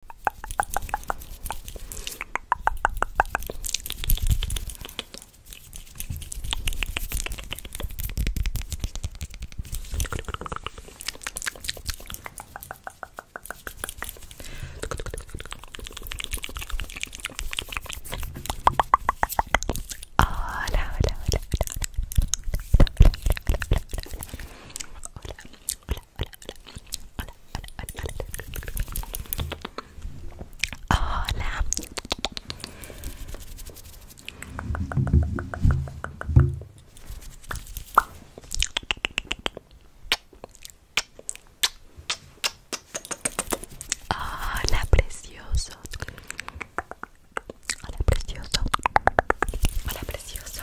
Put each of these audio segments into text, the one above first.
hola, hola, hola, hola, hola, hola, precioso. Hola precioso precioso.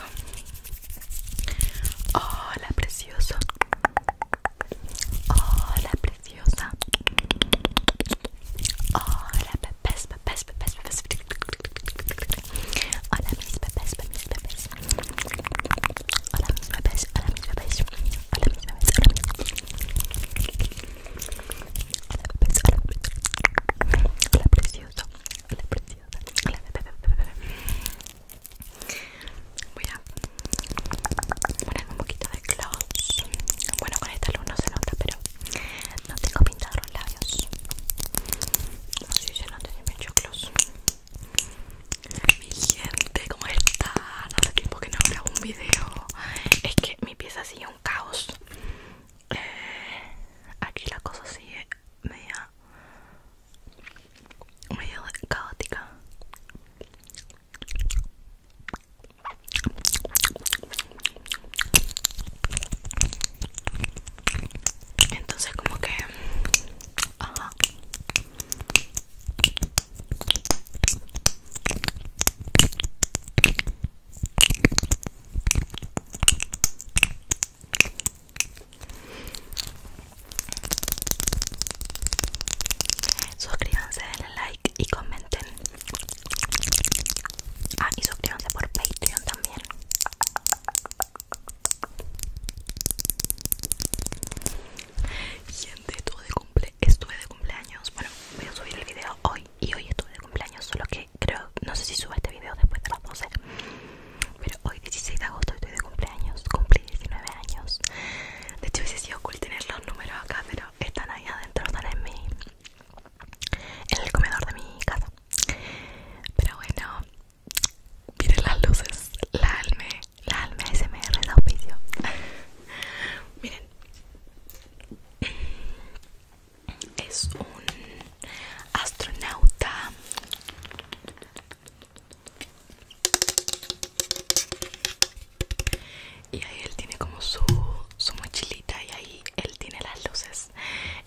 Hola, precioso. Hola, preciosa. Hola, Hola, mis Hola, mis hola, Hola, Hola, precioso. Voy a ponerme un poquito de gloss. Bueno, con esta luz no se nota, pero no tengo pintado los labios. No sé si no tenía mucho gloss. Mi gente, ¿cómo está? Hace tiempo que no grabo un video. Es que mi pieza sigue un caos. Eh, aquí la cosa sigue media media medio caótica entonces como que ajá Suscríbanse, denle like y comenten. Ah, y suscríbanse por Patreon también. Gente, estuve de, cumple, estuve de cumpleaños. Bueno, voy a subir el video hoy y hoy estuve de cumpleaños, solo que creo, no sé si subo este video después de las 12 Pero hoy 16 de agosto estoy de cumpleaños, cumplí 19 años De hecho hubiese sido cool tener los números acá, pero están ahí adentro, están en mi... En el comedor de mi casa Pero bueno, miren las luces, la alme, la alme SMR de auspicio Miren es un astronauta y ahí él tiene como su, mochilita y ahí él tiene las luces,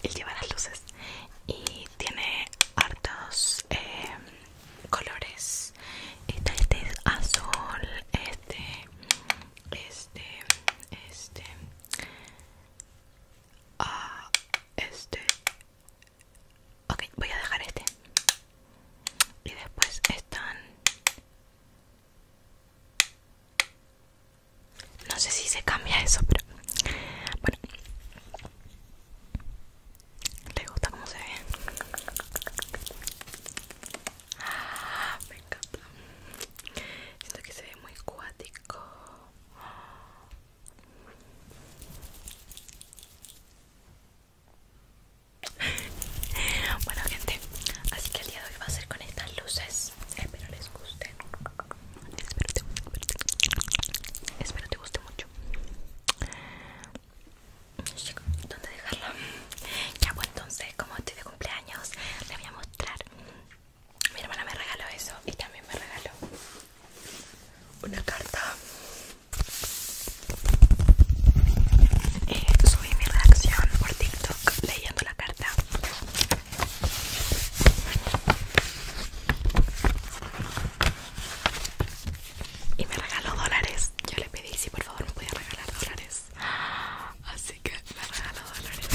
él lleva las luces y tiene hartos eh, colores, este es azul, este, este, este, a ah, este. Ok, voy a dejar este. Y después están... No sé si se cambia eso, pero... Bueno. ¿Te gusta cómo se ve? Ah, me encanta. Siento que se ve muy cuático. Bueno gente, así que el día de hoy va a ser con estas luces. Espero les guste. Espero te, espero te guste mucho. ¿Dónde dejarla? Ya pues entonces, como estoy de cumpleaños, les voy a mostrar mi hermana me regaló eso y también me regaló una carta. Eh, subí mi reacción por TikTok leyendo la carta. Y me regaló dólares. Yo le pedí si por favor me podía regalar dólares. Así así que me regaló Dolores.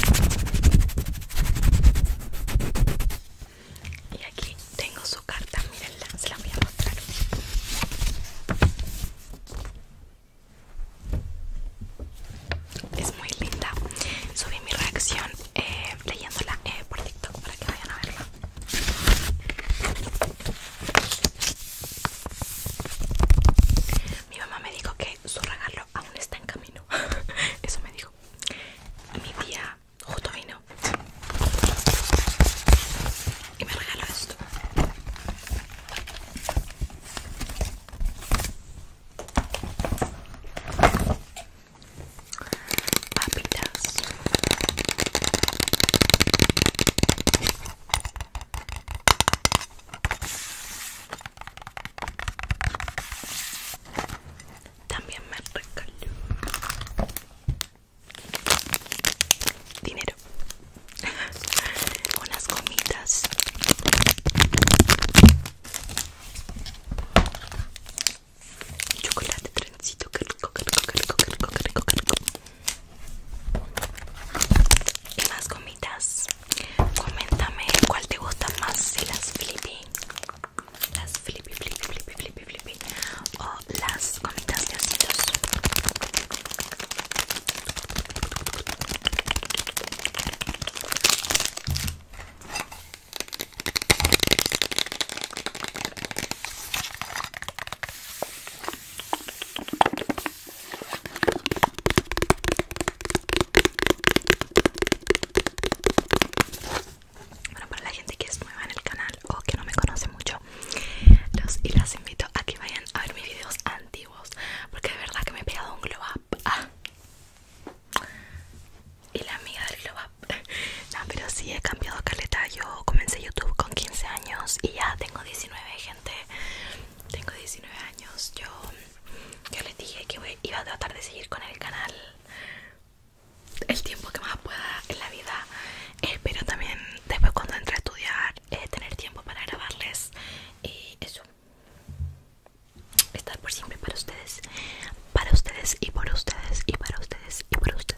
Y aquí tengo su carta, mirenla se la voy a mostrar. Es muy linda. Subí mi reacción eh, leyéndola eh, por TikTok para que vayan a verla. Mi mamá me dijo que su regalo aún está en camino. Eso me dijo. Mi tía justo vino y me regaló esto. Papitas. También me regaló dinero, unas gomitas. Chocolate trencito, que rico, que rico, que rico, que más gomitas. Coméntame cuál te gusta más, si las flippy, las flippy, flippy, flippy, flippy, flippy o las gomitas de ositos. Bueno, para la gente que es nueva en el canal o que no me conoce mucho, y las invito a que vayan a ver mis videos antiguos, porque de verdad que me he pegado un glow up. Ah. Y la amiga del glow up. No, pero sí he cambiado caleta. Yo comencé YouTube con 15 años y ya tengo 19, gente tengo 19 años. Yo, les dije que iba a tratar de seguir con el canal el tiempo que más pueda en la vida. Eh, pero también después cuando entre a estudiar, eh, tener tiempo para grabarles y eso. Estar por siempre para ustedes. Para ustedes y por ustedes y para ustedes y por ustedes.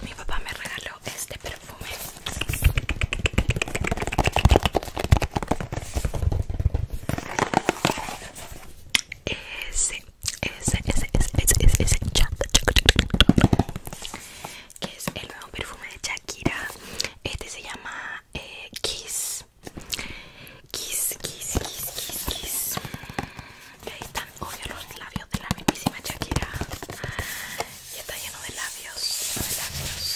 Mi papá me regaló este perfume ese que es el nuevo perfume de Shakira este se llama eh, Kiss Kiss Kiss Kiss Kiss ahí están obvio los labios de la mismísima Shakira ya está lleno de labios, lleno de labios.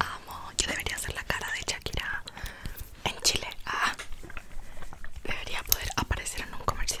Amo, yo debería ser la cara de Shakira en Chile. Ah, debería poder aparecer en un comercial.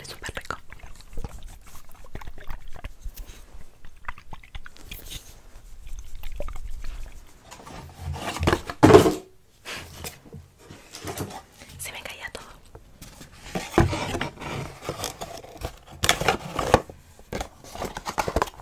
es súper rico. Se me caía todo.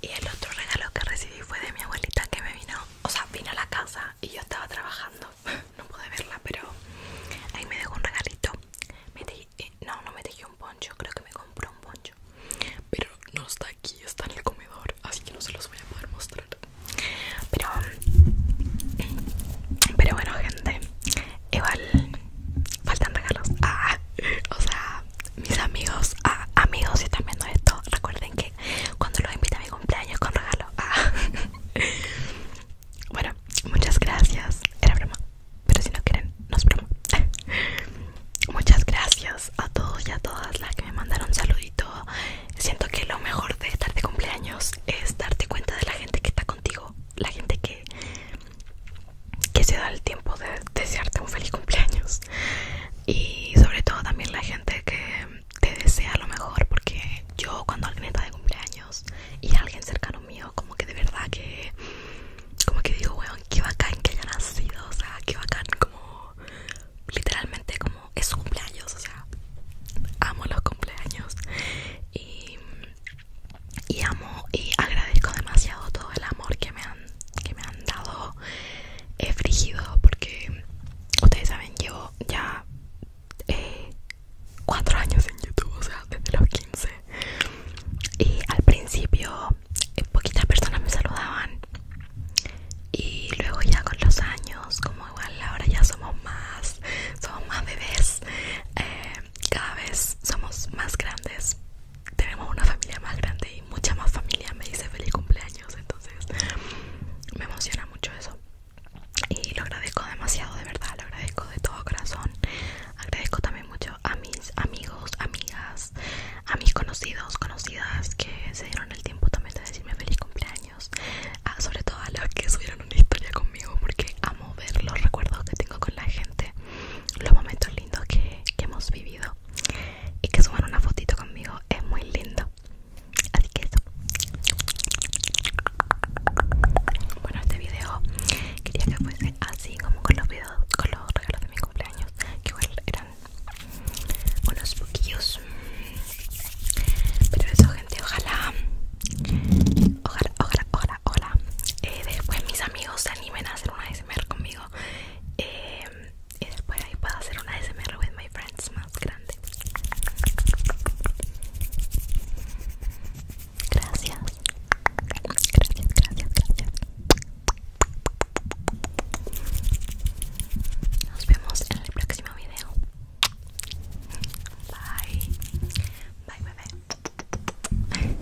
Y el otro regalo que recibí fue de mi abuelita que me vino, o sea, vino a la casa y yo estaba trabajando. No pude verla, pero ahí me dejó un regalito. Eh, no, no me dejó un poncho, creo que me compró un poncho. Pero no está aquí, está en el comedor, así que no se los voy a poder mostrar. Pero, pero bueno, gente, igual faltan regalos. Ah, o sea, mis amigos, a ah, amigos, si están viendo esto, recuerden que cuando los invita a mi cumpleaños con regalo. Ah. bueno, muchas gracias. Era broma, pero si no quieren, no es broma. muchas gracias a todos y a todas las que me mandaron saludito. Siento que lo mejor de estar de cumpleaños es darte cuenta de la gente que está contigo, la gente que que se da el tiempo de desearte un feliz cumpleaños y sobre todo también la gente que te desea lo mejor porque yo cuando alguien está de cumpleaños y alguien cercano mío como que de verdad que como que digo weón qué bacán que haya nacido o sea qué bacán como literalmente como es cumpleaños o sea amo los cumpleaños y amo y agradezco demasiado todo el amor que me que me han dado He frígido porque ustedes saben llevo ya 4 eh, años en YouTube, o sea, desde los 15 y al principio eh, poquitas personas me saludaban y luego ya con los años, como igual ahora ya somos más, somos más bebés, eh, cada vez somos más grandes tenemos una familia más grande y mucha más familia me dice feliz cumpleaños, entonces me emociona mucho eso. Y lo agradezco demasiado, de verdad, lo agradezco de todo corazón. Agradezco también mucho a mis amigos, amigas, a mis conocidos, conocidas que se dieron el tiempo también de decirme feliz cumpleaños. sobre todo a los que subieron una historia conmigo porque amo ver los recuerdos que tengo con la gente, los momentos lindos que hemos vivido y que suban una fotito conmigo es muy lindo así que eso bueno este video quería que fuese así como con los videos con los regalos de mi cumpleaños que igual eran unos poquillos pero eso gente ojalá ojalá ojalá ojalá eh, después mis amigos se animen a hacer una ASMR conmigo eh, y después ahí puedo hacer una SMR with my friends más grande. Gracias. Gracias, gracias, gracias. Nos vemos en el próximo video. Bye. Bye, bebé.